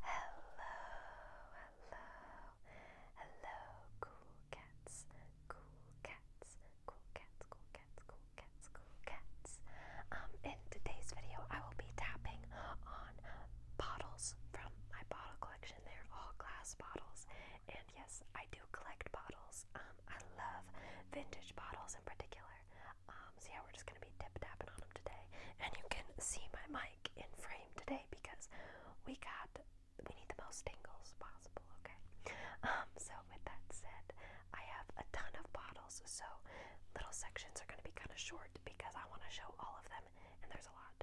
Hello, hello, hello, cool cats, cool cats, cool cats, cool cats, cool cats, cool cats. Um, in today's video, I will be tapping on bottles from my bottle collection. They're all glass bottles, and yes, I do collect bottles. Um, I love vintage bottles in particular. Um, so yeah, we're just gonna be tip tapping on them today, and you can see my mic in frame today because we got we need the most tingles possible, okay? Um, so with that said, I have a ton of bottles, so little sections are gonna be kinda short because I wanna show all of them and there's a lot.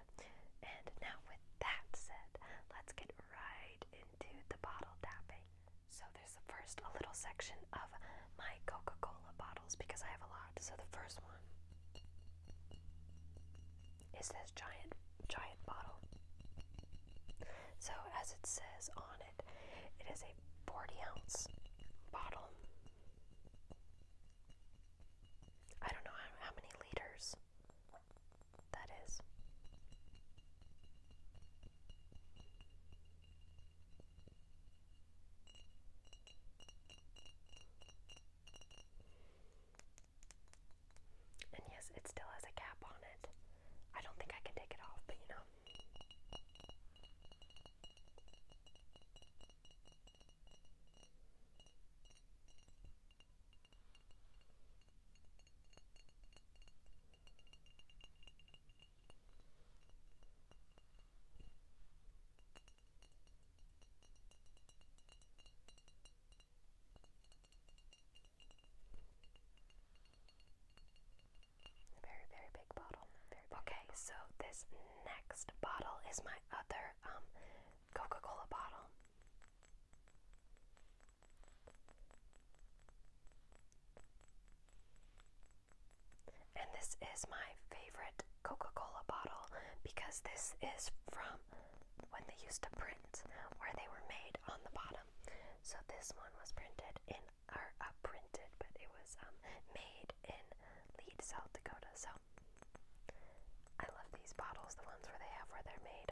And now with that said, let's get right into the bottle tapping. So there's the first a little section of my Coca-Cola bottles because I have a lot. So the first one is this giant giant bottle. So as it says on it, it is a 40 ounce bottle. I don't know how, many liters that is. And yes, it still has a cap on it. I don't think I can take it off, but you know. Very, very big bottle. okay, so this next bottle is my other um, Coca Cola bottle. And this is my favorite Coca Cola bottle because this is from when they used to print where they were made on the bottom. So this one was printed in, or uh, printed, but it was um, made in Lead, South Dakota. So I love these bottles, the ones where they have where they're made.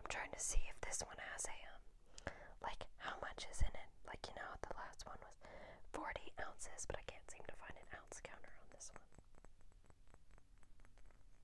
I'm trying to see if this one has a, um, like, how much is in it. Like, you know, the last one was 40 ounces, but I can't seem to find an ounce counter on this one.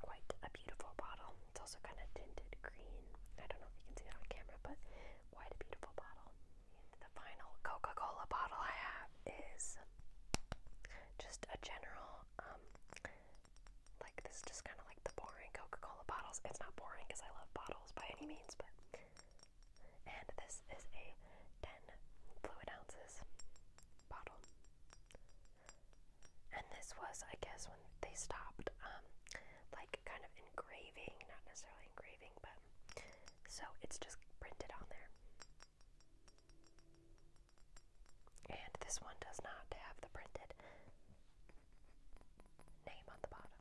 Quite a beautiful bottle. It's also kind of tinted green. I don't know if you can see that on camera, but quite a beautiful bottle. And the final Coca-Cola bottle I have is just a general, um, like this is just kind of like the boring Coca-Cola bottles. It's not boring because I love bottles by any means, but and this is a 10 fluid ounces bottle. And this was, I guess, when they stopped, um, like kind of engraving, not necessarily engraving, but so it's just printed on there. And this one does not have the printed name on the bottom.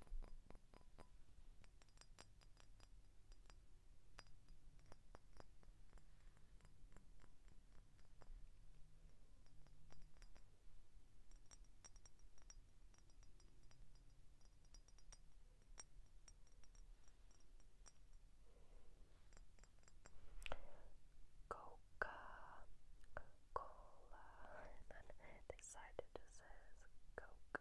Coca Cola, and then this side it just says Coke.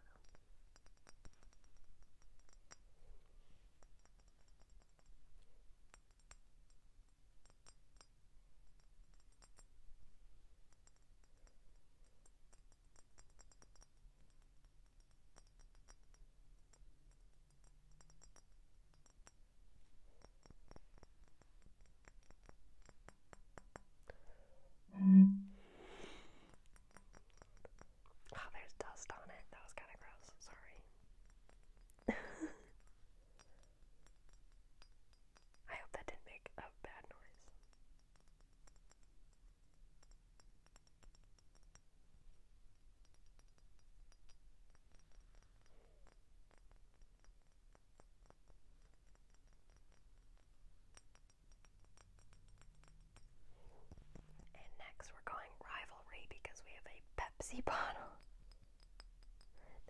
Mm. Oh, there's dust on it. That was kind of gross. Sorry. I hope that didn't make a bad noise. And next, we're going rivalry because we have a Pepsi bottle.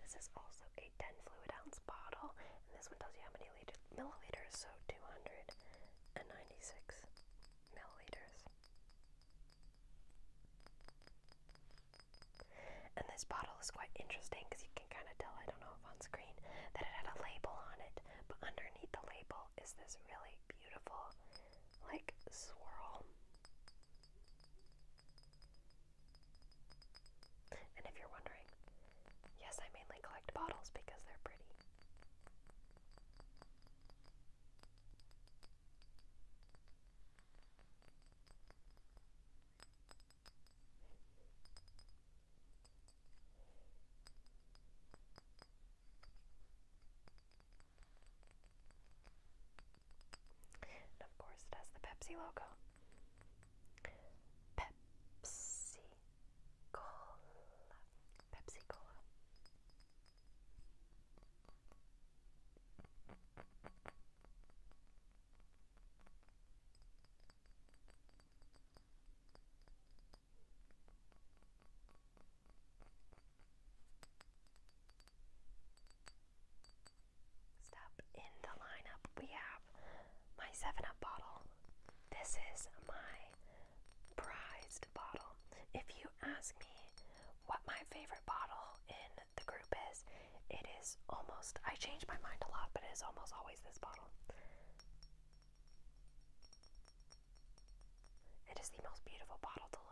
This is also a 10 fluid ounce bottle, and this one tells you how many milliliters, so 296 milliliters. And this bottle is quite interesting because you can kind of tell, I don't know if on screen, that it had a label on it, but underneath the label is this really beautiful, like, swirl and if you're wondering, yes, I mainly collect bottles because they're pretty. And of course, it has the Pepsi logo. Pepsi Cola. Pepsi Cola. Next up in the lineup, we have my 7 Up bottle. This is my prized bottle. If you ask me what my favorite bottle in the group is, it is almost, I change my mind a lot, but it is almost always this bottle. It is the most beautiful bottle to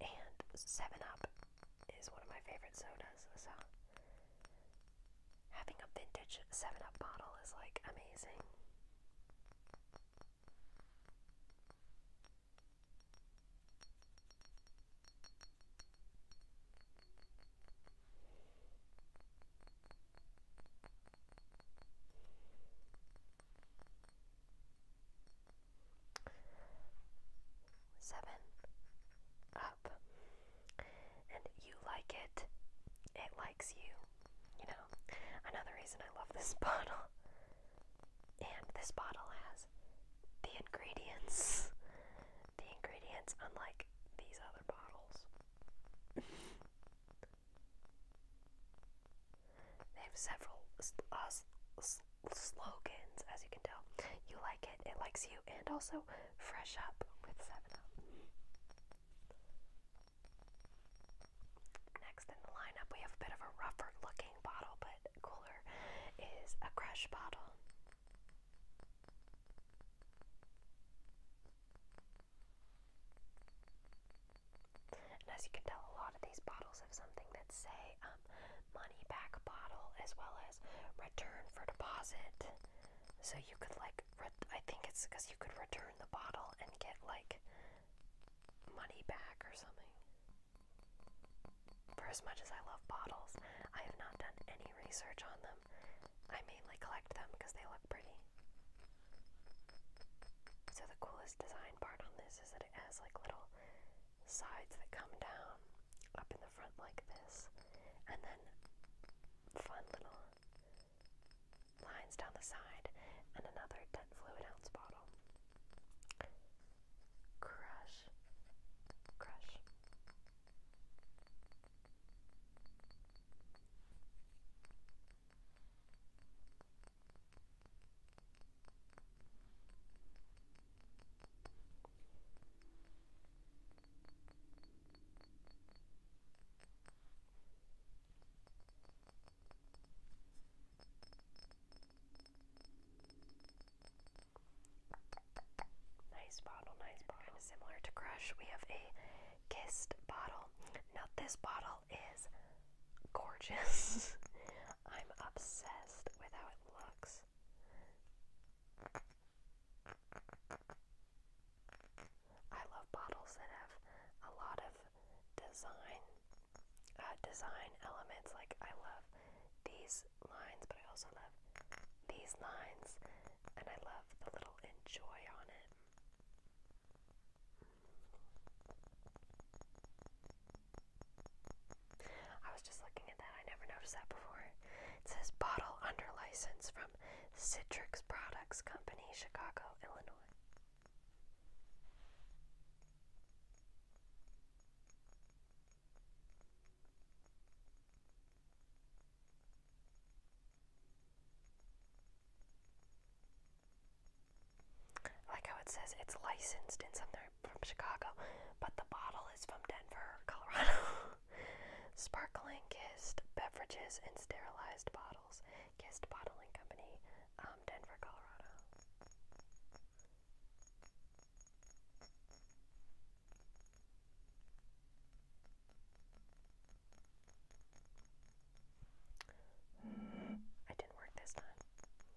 and 7-Up is one of my favorite sodas, so having a vintage 7-Up bottle is like amazing seven up and you like it it likes you you know another reason i love this bottle and this bottle has the ingredients the ingredients unlike these other bottles They have several uh, slogans, as you can tell. You like it, it likes you, and also fresh up with 7-Up. Next in the lineup, we have a bit of a rougher looking bottle, but cooler, is a crush bottle. And as you can tell, a lot of these bottles have something that say um, money back bottle as well as return for deposit. So you could like, I think it's because you could return the bottle and get like money back or something. For as much as I love bottles, I have not done any research on them. I mainly collect them because they look pretty. So the coolest design part on this is that it has like little sides that come down up in the front like this, and then fun little lines down the side, and another 10 fluid ounce bottle. Crush, crush. Nice bottle, nice bottle. similar to Crush, we have a kissed bottle. Not this bottle, is gorgeous. I'm obsessed with how it looks. I love bottles that have a lot of design uh, design elements. Like I love these lines, but I also love these lines, and I love the little enjoy on it. I was just looking at that. I never noticed that before. It says bottle under license from Citrix Products Company, Chicago, Illinois like how it says it's licensed in somewhere from Chicago, but the bottle is from Denver, Colorado. Sparkling Kissed Beverages in Sterilized Bottles, Kissed Bottling Company, um, Denver, Colorado. I didn't work this time.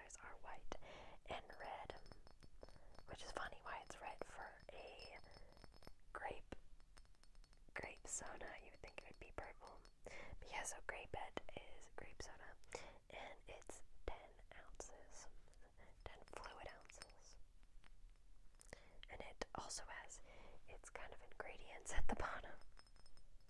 are white and red, which is funny why it's red for a grape grape soda. You would think it would be purple. But yeah, so Grapehead is grape soda, and it's 10 ounces, 10 fluid ounces. And it also has its kind of ingredients at the bottom.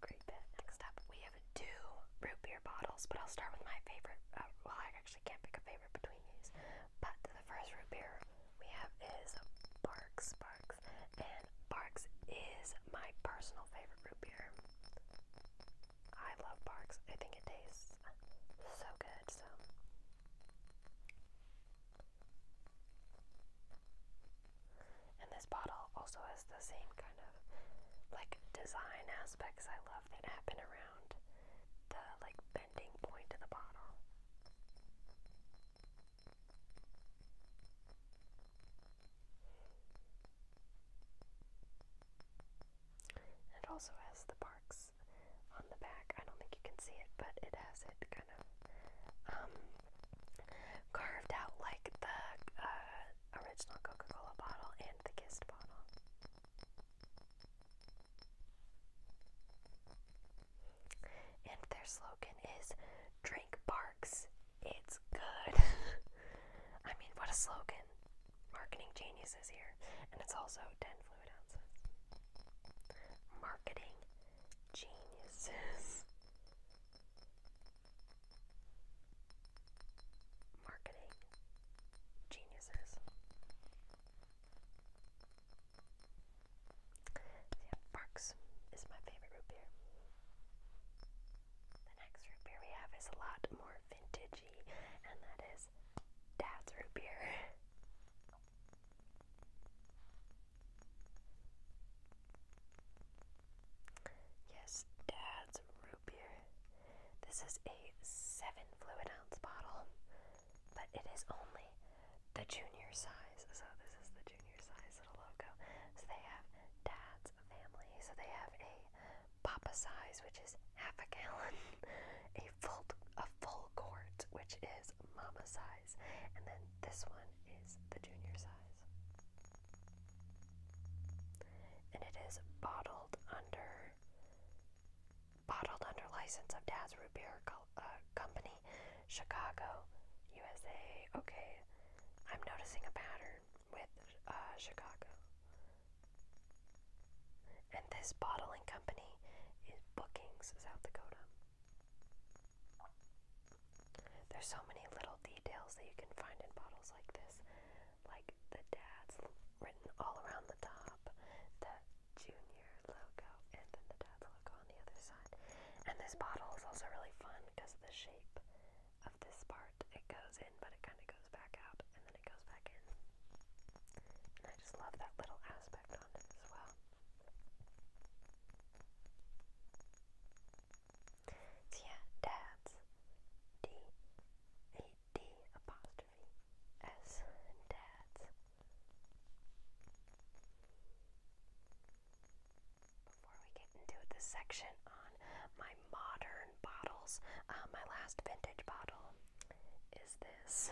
Grape Next up, we have two root beer bottles, but I'll start with my favorite. Uh, well, I actually can't pick a favorite between these, but the first root beer we have is Barks by Barks, and Barks is my personal favorite root beer. I love Barks. I think it tastes so good. So. And this bottle also has the same kind of like design aspects I love that happen around the like bending point of the bottle. It also has the parks on the back. I don't think you can see it, but it has it kind of um, carved out like the uh, original Coca Cola bottle and the Kissed bottle. And their slogan is Drink Barks, it's good. I mean, what a slogan. Marketing geniuses here. And it's also 10 fluid ounces. Marketing geniuses. Marketing geniuses. So Barks is my favorite root beer. The next root beer we have is a lot more vintagey, and that is Dad's root beer. Yes, Dad's root beer. This is a seven fluid ounce bottle but it is only the junior size. So this is the junior size little logo. So they have dad's family. So they have a papa size, which is half a gallon, a full a full quart, which is mama size, and then this one is the junior size. And it is bottled under bottled under license of Dad's Root Beer co uh, Company Chicago, USA. Okay, I'm noticing a pattern with uh, Chicago. And this bottling company is Bookings, South Dakota. There's so many little details that you can find in bottles like this, like the dad's written all around the top, the junior logo and then the dad's logo on the other side. And this bottle is also really fun because of the shape of this part. It goes in, but it kind of goes back out, and then it goes back in. I just love that little aspect on it as well. So yeah, dads. D A D apostrophe S dads. Before we get into this section on my modern bottles, uh, my last vintage bottle is this.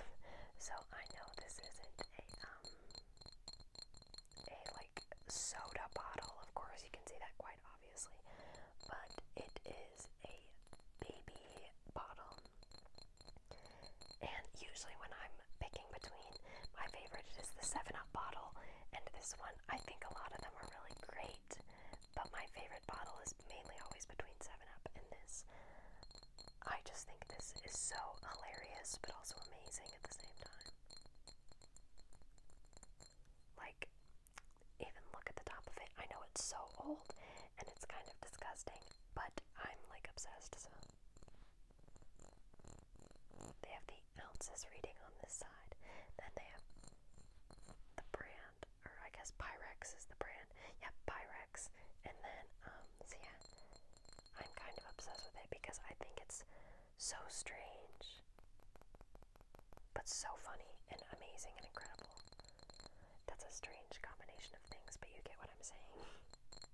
So I know this isn't a um, a like soda bottle. Of course, you can see that quite obviously, but it is a baby bottle. And usually, when I'm picking between my favorite is the 7 Up bottle and this one, I think a lot of them are really great, but my favorite bottle is mainly always between 7 Up and this. I just think this is so hilarious, but also amazing at the same time. Like, even look at the top of it. I know it's so old and it's kind of disgusting, but I'm like obsessed, so. They have the ounces reading on this side. Then they have the brand, or I guess Pyrex is the brand. Yeah, Pyrex. And then, um, so yeah, I'm kind of obsessed with it because I think it's so strange, but so funny and amazing and incredible. That's a strange combination of things, but you get what I'm saying.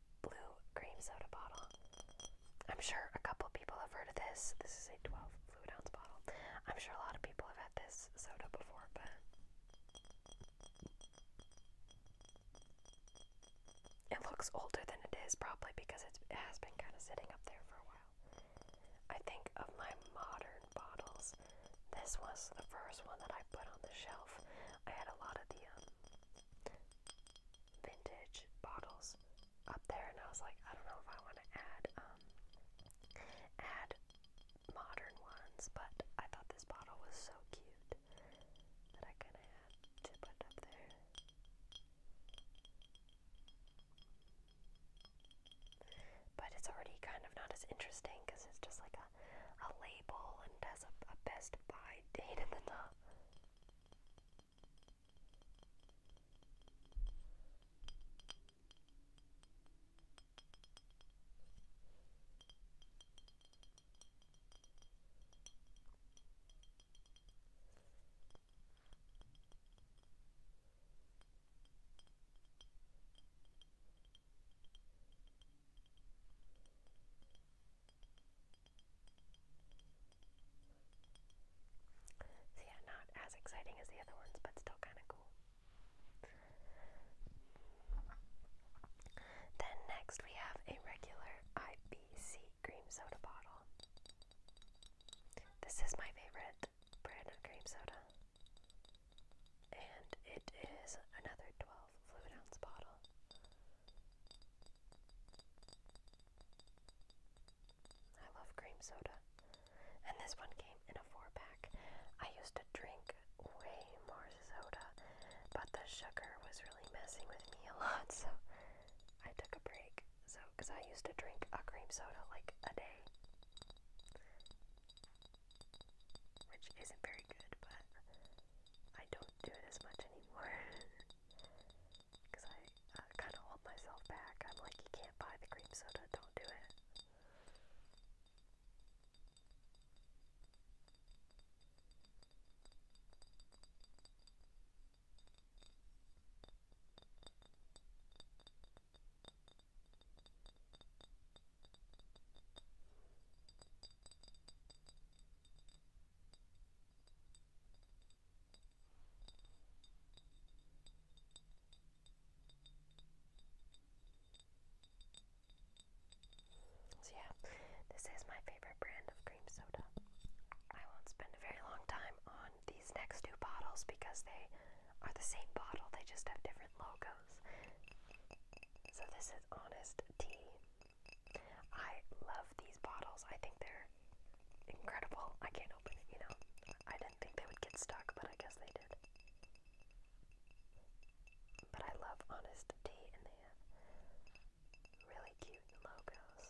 blue cream soda bottle. I'm sure a couple people have heard of this. This is a 12 fluid ounce bottle. I'm sure a lot of people have had this soda before, but it looks older than it is probably because it has been kind of sitting up there for a while. I think of my modern bottles. This was the first one that I put on the shelf. I had a lot of the um, vintage bottles up there, and I was like, I don't know if I want to add um, add modern ones, but I thought this bottle was so cute that I kind of had to put up there. But it's already kind of not as interesting because it's just like a a, label and has a, best buy date in the top. So yeah, not as exciting as the other ones, but still kind of cool. Then next we have a regular IBC cream soda bottle. This is my favorite brand of cream soda. And it is another 12 fluid ounce bottle. I love cream soda. And this one came in a four pack. I used to drink way more soda, but the sugar was really messing with me a lot, so I took a break. So, because I used to drink a cream soda like a day, which isn't very good, but I don't do it as much anymore. Because I kind of hold myself back. I'm like, you can't buy the cream soda, don't do it. So yeah, this is my favorite brand of cream soda. I won't spend a very long time on these next two bottles because they are the same bottle, they just have different logos. So this is Honest Tea. I love these bottles. I think they're incredible. I can't open it, you know. I didn't think they would get stuck, but I guess they did. But I love Honest Tea, and they have really cute logos.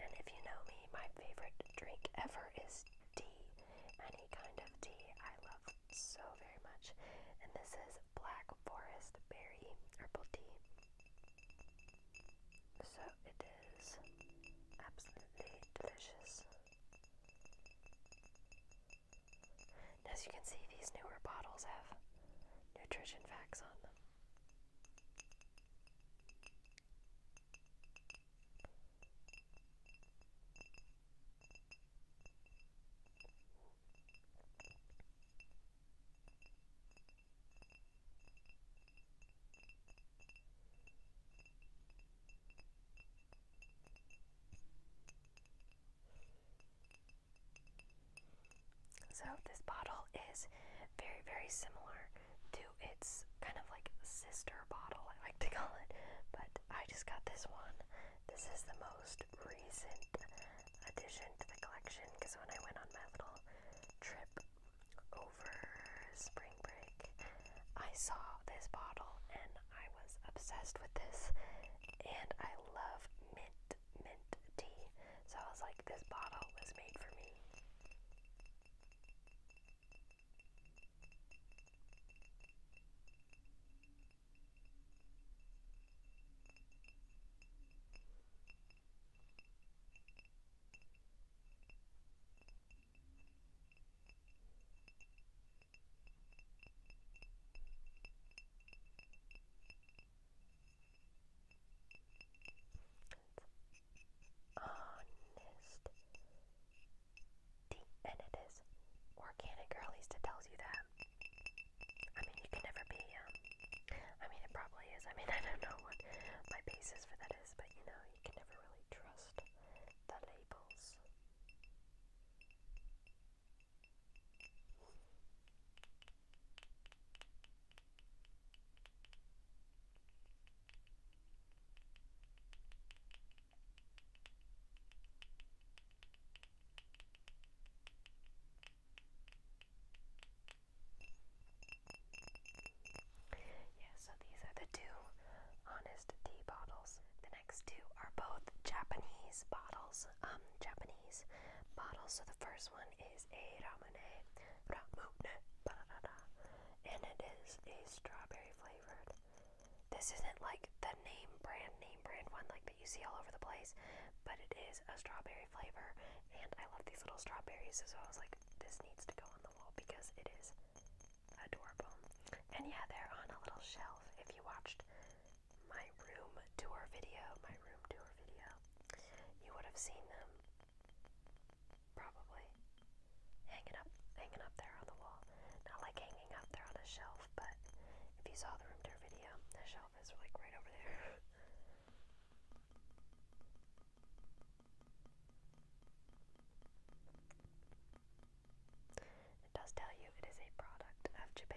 And if you know me, my favorite drink ever is tea. Any kind of tea. I love so very much. And this is Black Forest Berry Herbal Tea. So it is absolutely delicious. as you can see, these newer bottles have nutrition facts on them. So, this bottle is very, very similar to its kind of like sister bottle, I like to call it, but I just got this one. This is the most recent addition to the collection because when I went on my little trip over spring break, I saw this bottle and I was obsessed with this. And I love mint, mint tea. So I was like, this bottle was made for me honest. and it is organic, or at tells you that. I mean, you can never be, um, I mean, it probably is. I mean, I don't know what my basis for that is, but you know, you can never really trust the labels. Yeah, so these are the two Honest Tea bottles. The next two are both Japanese bottles. Um, Japanese bottles. So the first one is a ramune, and it is a strawberry flavored. This isn't like the name brand, name brand one like you see all over the place, but it is a strawberry flavor, and I love these little strawberries, so I was like, this needs to go on the wall because it is adorable. And yeah, they're on a little shelf. If you watched my room tour video, my room tour video, you would have seen them probably hanging up hanging up there on the wall. Not like hanging up there on a shelf, but if you saw the room tour video, the shelf it does tell you it is a product of Japan.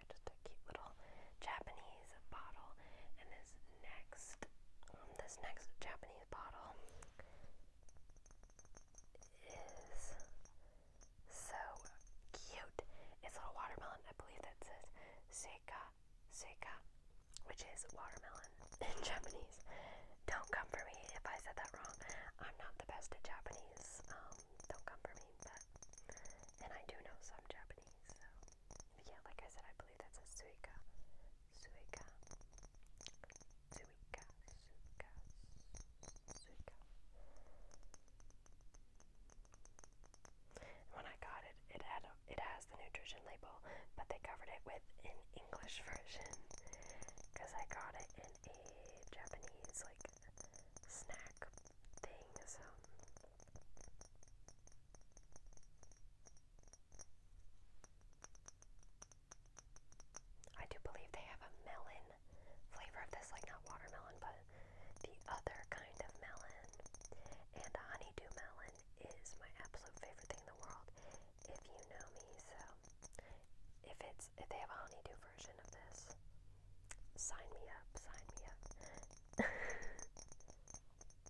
just a cute little Japanese bottle. And this next, um, this next Japanese bottle is so cute. It's a little watermelon. I believe that says seka seka, which is watermelon in Japanese. Don't come for me if I said that wrong. I'm not the best at Japanese. Um, don't come for me, but and I do know some Japanese, yeah, like I said, I believe that's a suika, suika, Suica. Suica. Suica. When I got it, it had it has the nutrition label, but they covered it with an English version because I got it in a Japanese like snack thing. So I do believe they have a melon flavor of this, like not watermelon, but the other kind of melon. And honeydew melon is my absolute favorite thing in the world, if you know me. So, if it's if they have a honeydew version of this, sign me up. Sign me up. Meron,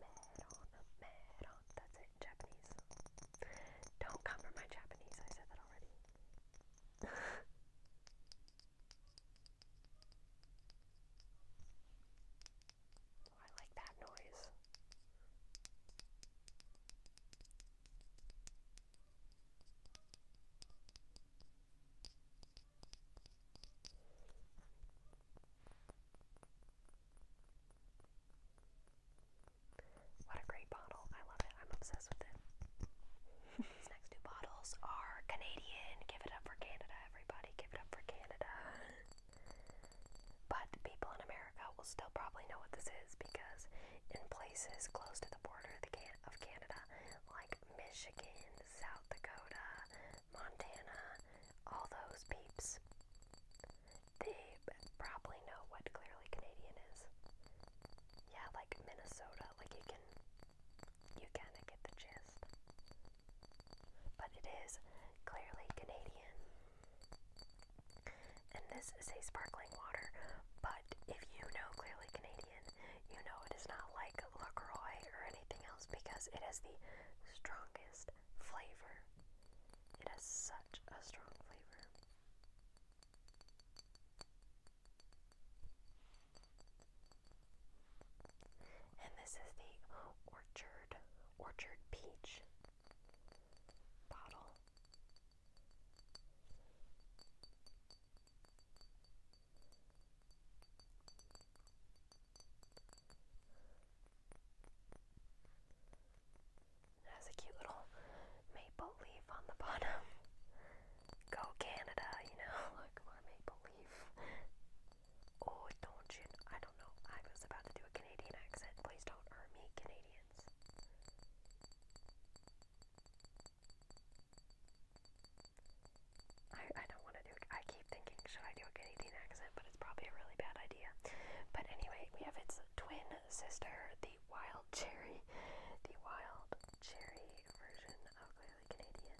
meron, that's it, Japanese. Don't cover my Japanese, I said that already. I like that noise. What a great bottle. I love it. I'm obsessed with it. These next two bottles are Canadian. Give it up for Canada, everybody. Give it up for Canada. But people in America will still probably know what this is because in places close to the border of Canada, like Michigan, South Dakota, Montana, all those peeps, they probably know what clearly Canadian is. Yeah, like Minnesota, like you can, you kinda get the gist. But it is clearly Canadian. And this is a sparkling water, but if you know clearly Canadian, you know it is not like LaCroix or anything else because it has the strongest flavor. It has such a strong flavor. And this is the Orchard Orchard Peach bottle. It has a cute little maple leaf on the bottom. Go Canada, you know, like more maple leaf. Oh, don't you? I don't know. I was about to do a Canadian accent. Please don't hurt me, Canadians. I, I don't want to do I keep thinking, should I do a Canadian accent? But it's probably a really bad idea. But anyway, we have its twin sister, the wild cherry, the wild cherry version of clearly Canadian.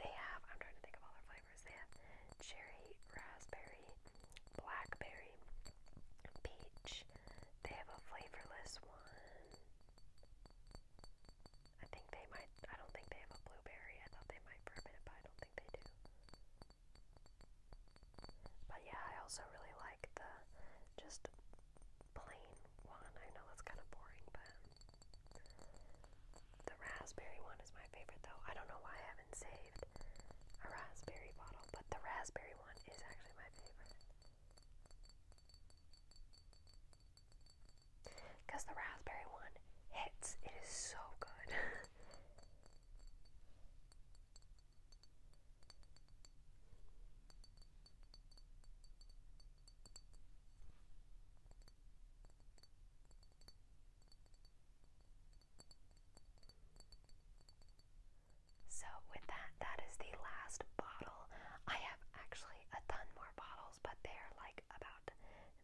They have, I'm trying to think of all their flavors. They have cherry, raspberry, blackberry, peach. They have a flavorless one. I think they might, I don't think they have a blueberry. I thought they might ferment it, but I don't think they do. But yeah, I also really like the just plain one. I know that's kind of boring, but the raspberry one is my favorite though. I don't know why I haven't saved a raspberry bottle, but the raspberry one is actually my favorite. Because the raspberry one hits, it is so good. So, with that, that is the last bottle. I have actually actually a ton more bottles, but they're like about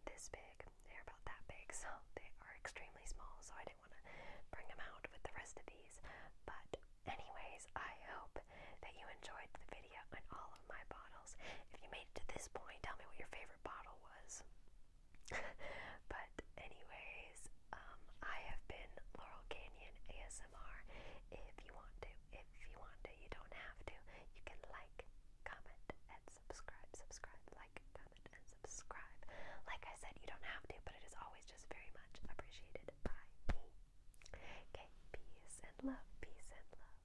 this big. They're about that big, so they are extremely small, so I didn't want to bring them out with the rest of these. But anyways, I hope that you enjoyed the video on all of my bottles. If you made it to this point, tell me what your favorite bottle was. but anyways, um, I have been Laurel Canyon ASMR. If you want to if you want to. You don't have to. You can like, comment, and subscribe. Subscribe, like, comment, and subscribe. Like I said, you don't have to, but it is always just very much appreciated by me. Okay, peace and love, peace and love.